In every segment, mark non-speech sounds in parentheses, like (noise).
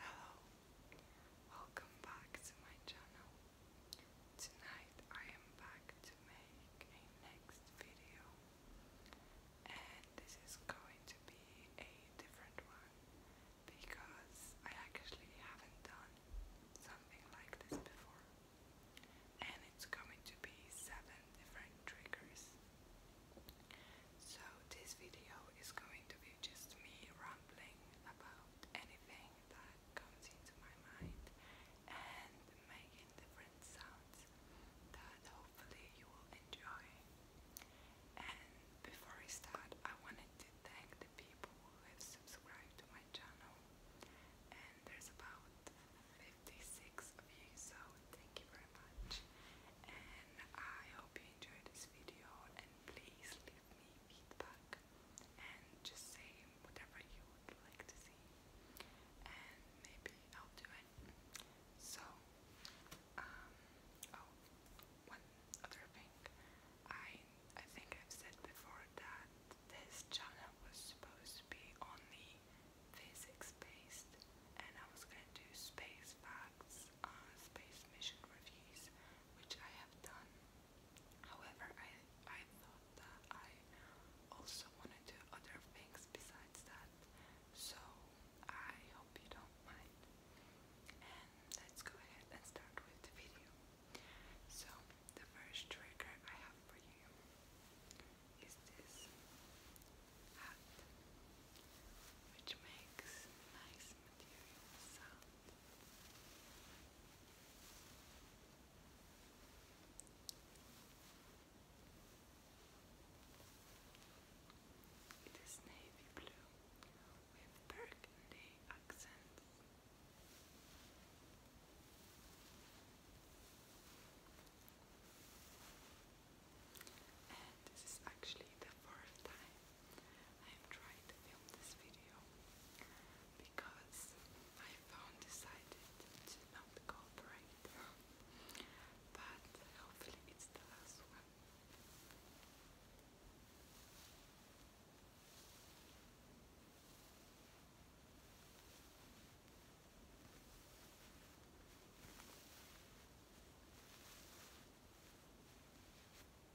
Hello, welcome back to my channel. Tonight I am back to make a next video, and this is going to be a different one because I actually haven't done something like this before, and it's going to be seven different triggers. So this video is going to be just me rambling about anything that comes into my mind and making different sounds that hopefully you will enjoy. And before I start, I wanted to thank the people who have subscribed to my channel. And there's about 56 of you, so thank you very much. And I hope enjoyed this video and please leave me feedback and just say whatever you would like to see and maybe I'll do it. So um oh one other thing I I think I've said before that this channel was supposed to be only physics based and I was gonna do space facts uh, space mission reviews, which I have done. However, I I thought that I also want to do other things besides that, so I hope you don't mind. And let's go ahead and start with the video. So the first trigger I have for you is this hat, which makes nice this material It is navy blue with burgundy accents this is actually the fourth time I'm trying to film this video because my phone decided to not cooperate. but hopefully it's the last one.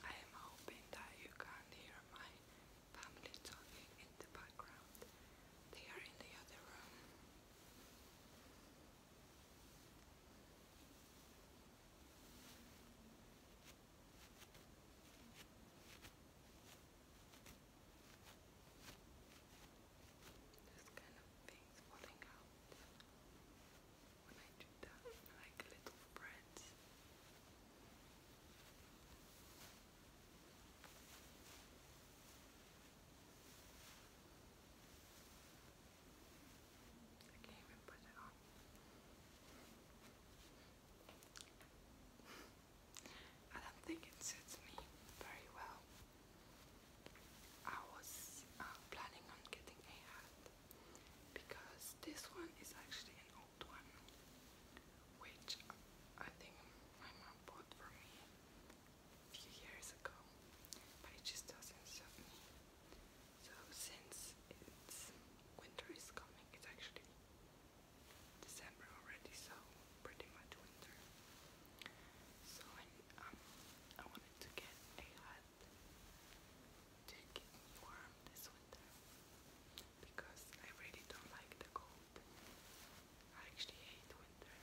I am hoping that you can hear my family talking in the background. They are in the other room. This kind of things falling out when I do that, like little breads. I even put it on. (laughs) I don't think it suits me very well. I was uh, planning on getting a hat because this one is actually an old one, which I think my mom bought for me a few years ago, but it just doesn't suit me. So since winter is coming, it's actually December already, so pretty much winter. So um, I wanted to get a hat to keep warm this winter because I really don't like the cold. I actually hate winter.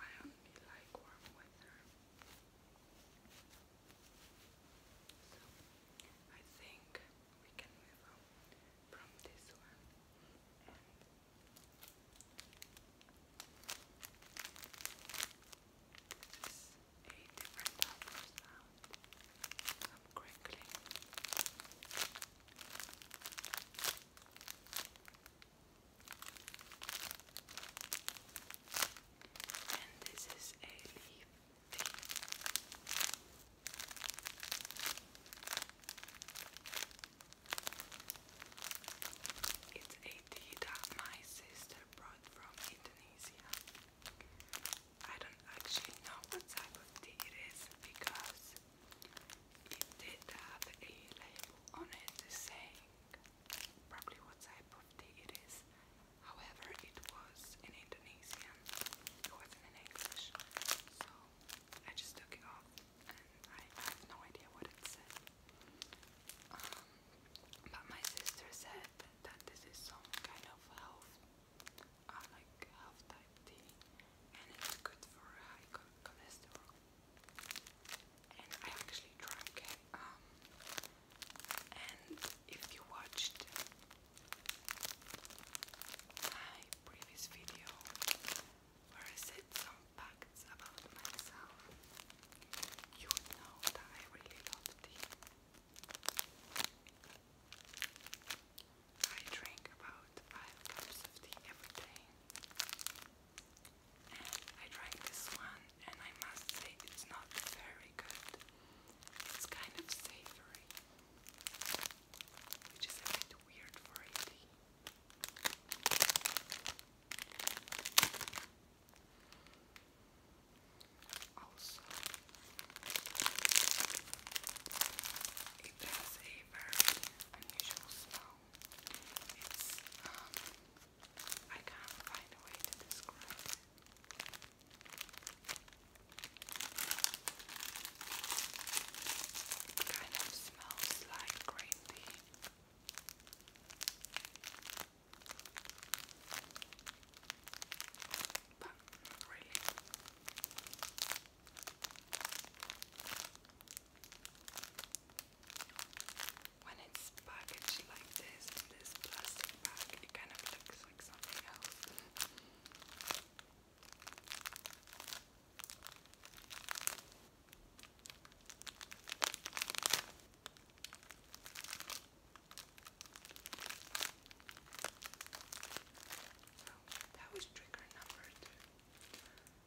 I only like warm weather. So I think we can move on from this one this is a different type of sound. Some crinkling. And this is a leaf tea. It's a tea that my sister brought from Indonesia. I don't actually know what type of tea it is because it did have a label on it saying probably what type of tea it is. However, it was in Indonesian, it wasn't in English, so I just took it off and I, have no idea what it said. Um, but my sister said that this is some kind of health, uh, like health type tea, and it's good for high cholesterol. And I actually drank it. Um, and if you watched my previous video where I said some facts about myself, you know that I really love tea. I drink about 5 cups of tea every day. I tried this one, and I must say it's not very good. It's kind of savory, which is a bit weird for tea. Also, it has a very unusual smell. It's, um, I can't find a way to describe it. It kind of smells like green tea. But not When it's packaged like this in this plastic bag, it kind of looks like something else that was trigger number two.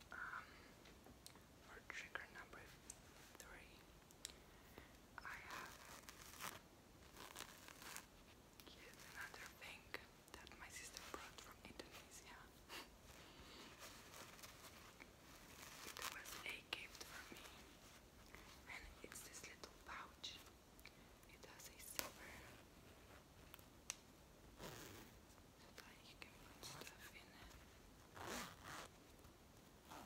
for um, trigger number three, I have yet another thing that my sister brought from Indonesia. It was a gift for me. And it's this little pouch. It has a zipper. So that you can put stuff in It has a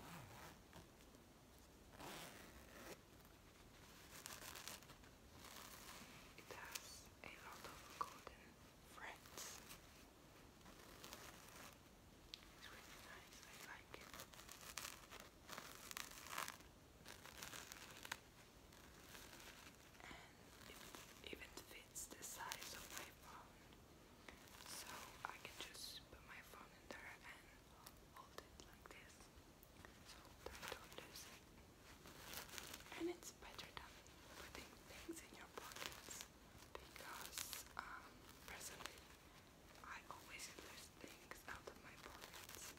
lot of golden threads. It's really nice, I like it. And it even fits the size of my phone. So I can just put my phone in there and hold it like this. So I don't lose it. And it's better than putting things in your pockets because um, personally I always lose things out of my pockets.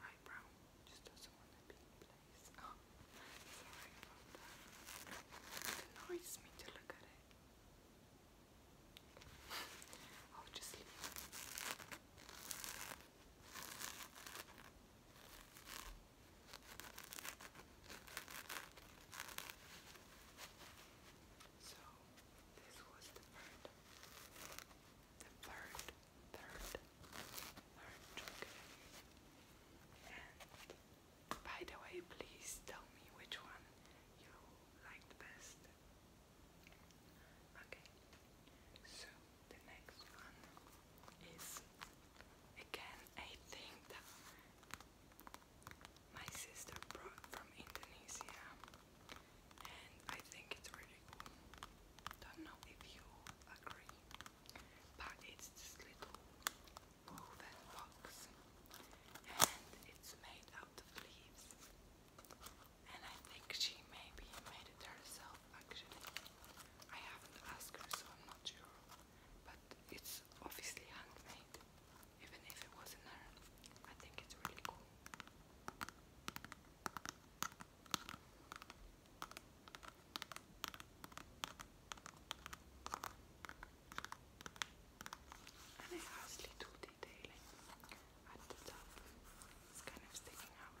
My eyebrow just doesn't want to be in place. Oh, sorry about that. It annoys me to look at it. (laughs) I'll just leave it. So this was the third, the third, third, third trick. And by the way, please tell me which one you liked best. Okay, so the next one is Again, I think that my sister brought from Indonesia, and I think it's really cool. Don't know if you agree, but it's this little woven box, and it's made out of leaves. And I think she maybe made it herself actually. I haven't asked her, so I'm not sure. But it's obviously handmade, even if it wasn't her. I think it's really cool. And it has little detailing at the top. It's kind of sticking out.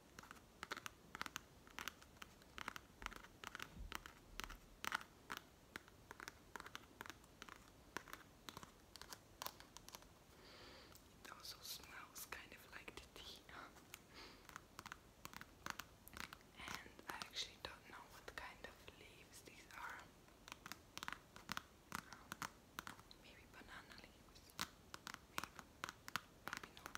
It also smells kind of like the tea. and I actually don't know what kind of leaves these are. maybe banana leaves. Maybe not.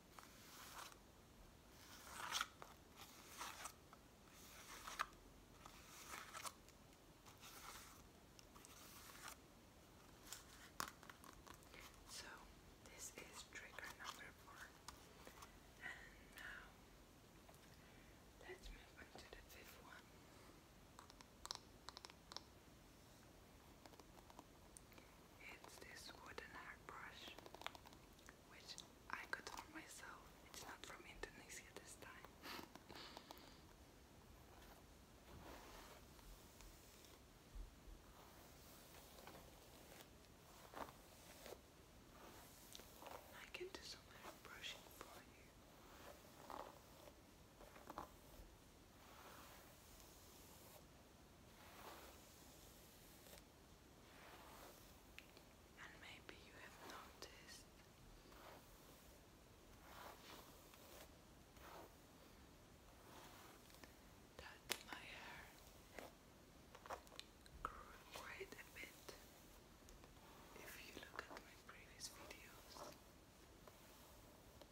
So this is trigger number four, and now let's move on to the fifth one. It's this wooden hairbrush, which I got for myself. It's not from Indonesia this time. I can do some hair brushing for you. And maybe you have noticed that my hair grew quite a bit. If you look at my previous videos, and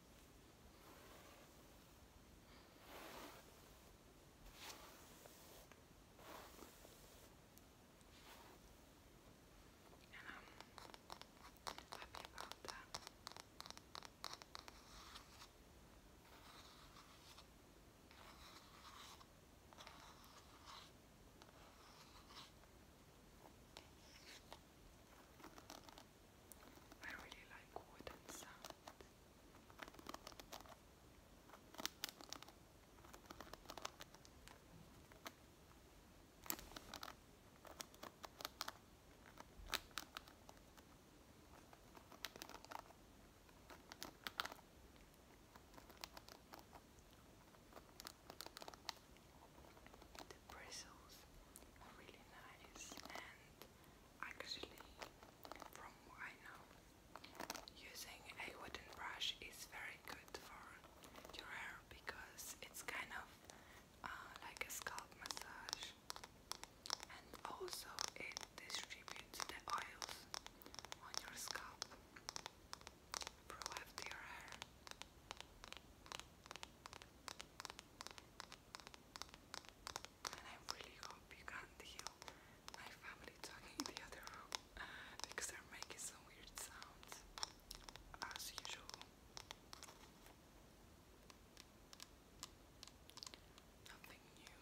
i really like wooden sounds. The bristles are really nice and Actually, from what I know, using a wooden brush is very good for your hair because it's kind of uh, like a scalp massage and also it distributes the oils on your scalp throughout your hair. And I really hope you can't hear my family talking in the other room (laughs) because they're making some weird sounds as usual. Nothing new.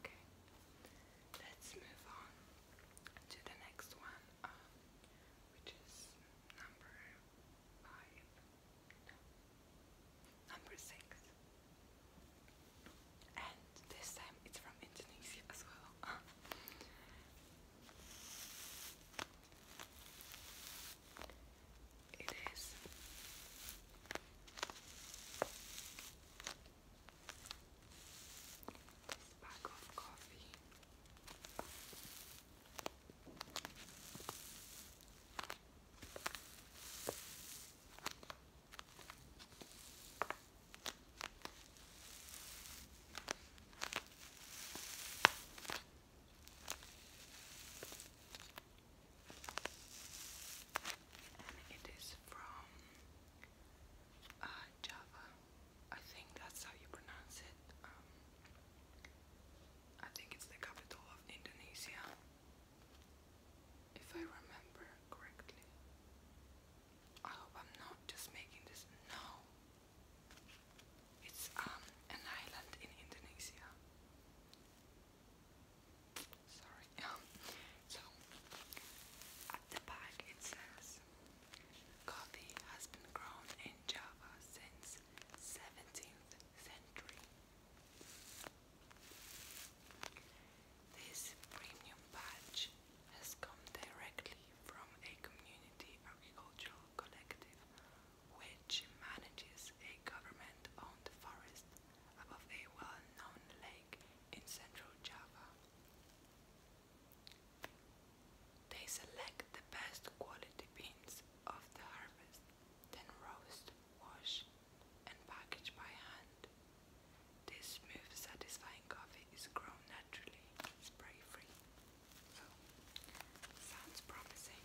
Okay, let's move on to the next one, um, which is number five, number six, and this time it's from Indonesia as well. (laughs) It is this bag of coffee and it is from uh, Java. I think that's how you pronounce it. Um, I think it's the capital of Indonesia, if I remember correctly. I hope I'm not just making this. No, it's um, an island in Indonesia. Sorry. (laughs) Um, so, at the back it says, coffee has been grown in Java since 17th century. This premium badge has come directly from a community agricultural collective which manages a government-owned forest above a well-known lake in central Java. They select the best quality beans of the harvest, then roast, wash, and package by hand. This smooth, satisfying coffee is grown naturally, spray-free, sounds promising.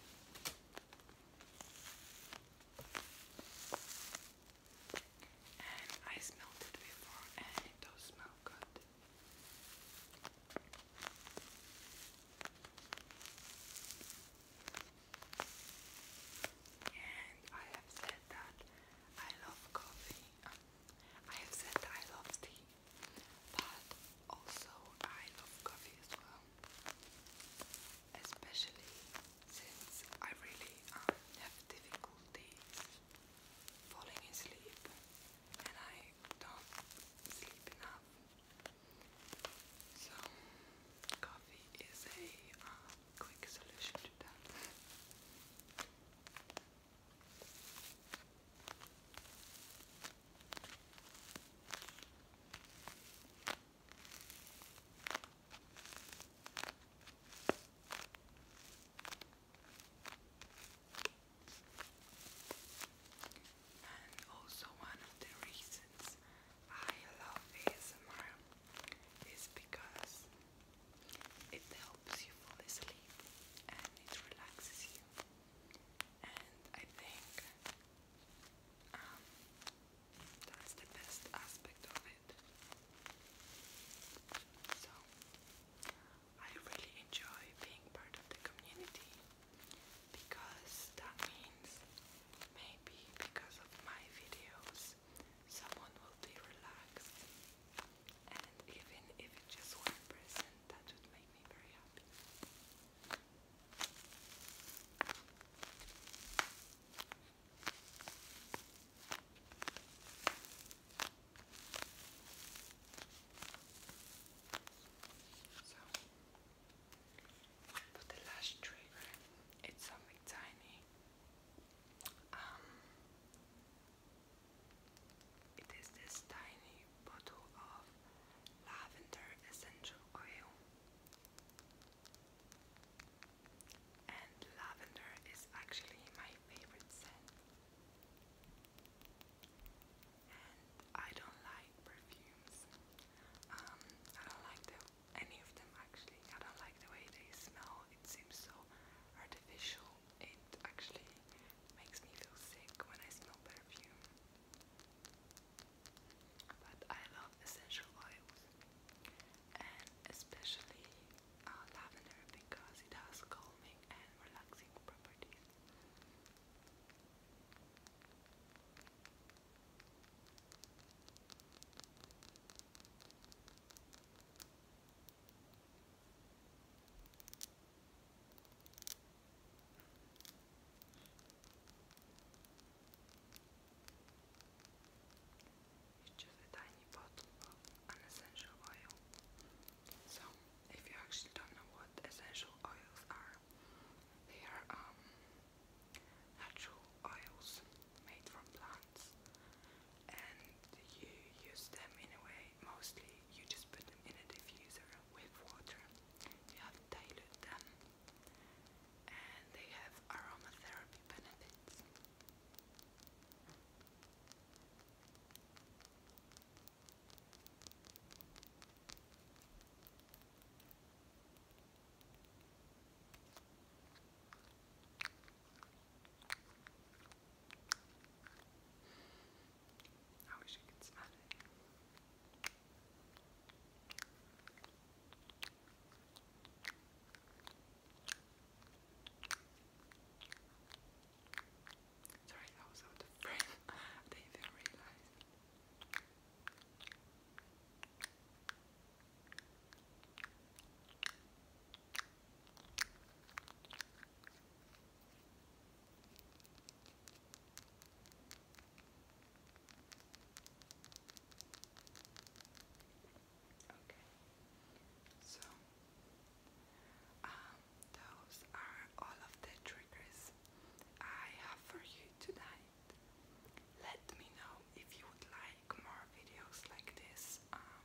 And I smelled it before, and it does smell good. And I have said that I love coffee. I have said I love tea. But also I love coffee as well. Especially since I really um, have difficulties falling asleep and I don't sleep enough. So coffee is a uh, quick solution to that. And also one of the reasons I love ASMR is because it helps you fall asleep and it relaxes you. And I think um, that's the best aspect of it. So, I really enjoy being part of the community because that means maybe because of my videos someone will be relaxed and even if it's just one person that would make me very happy. So, for the last trigger, it's something tiny. Um, it is this tiny bottle of lavender essential oil. And lavender is actually my favorite scent. And I don't like perfumes. Um, I don't like the, any of them actually. I don't like the way they smell. It seems so artificial. It actually makes me feel sick when I smell perfume. But I love essential oils and especially uh, lavender because it has calming and relaxing properties. It's just a tiny bottle of an essential oil. So, if you actually don't know what essential oils are, they are um, natural oils made from plants, and you use them in a way. Mostly, you just put them in a diffuser with water, you have dilute them and they have aromatherapy benefits. I wish you could smell it. Sorry, that was out of breath. I didn't even realize. Okay, so um, those are all of the triggers I have for you tonight. Let me know if you would like more videos like this, um,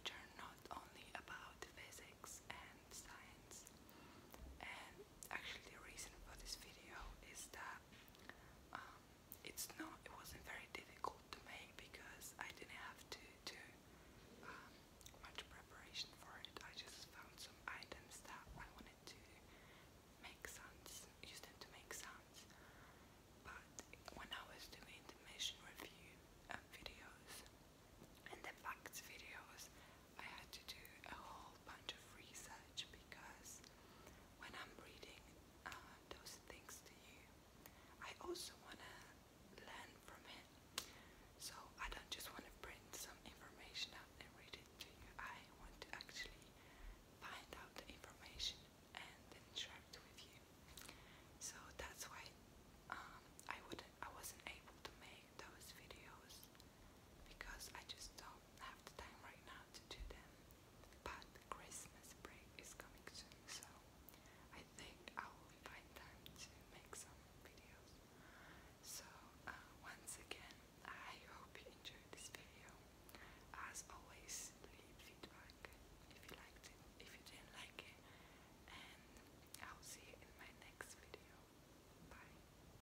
which are not only about physics and science, actually the reason for this video is that um, it's not it wasn't very difficult to make because I didn't have to do um, much preparation for it. I just found some items that I wanted to make sounds, use them to make sounds. But when I was doing mission review um, videos and the videos, I had to do a whole bunch of research because when I'm reading uh, those things to you, I also want to learn from it. So I don't just want to print some information out and read it to you. I want to actually find out the information and interact with you. So that's why um, I wouldn't, I wasn't able to make those videos because I just don't have the time right now to do them, but Christmas break is coming soon, so I think I will find time to make some videos. So uh, once again, I hope you enjoyed this video. As always, leave feedback if you liked it, if you didn't like it, and I'll see you in my next video. Bye.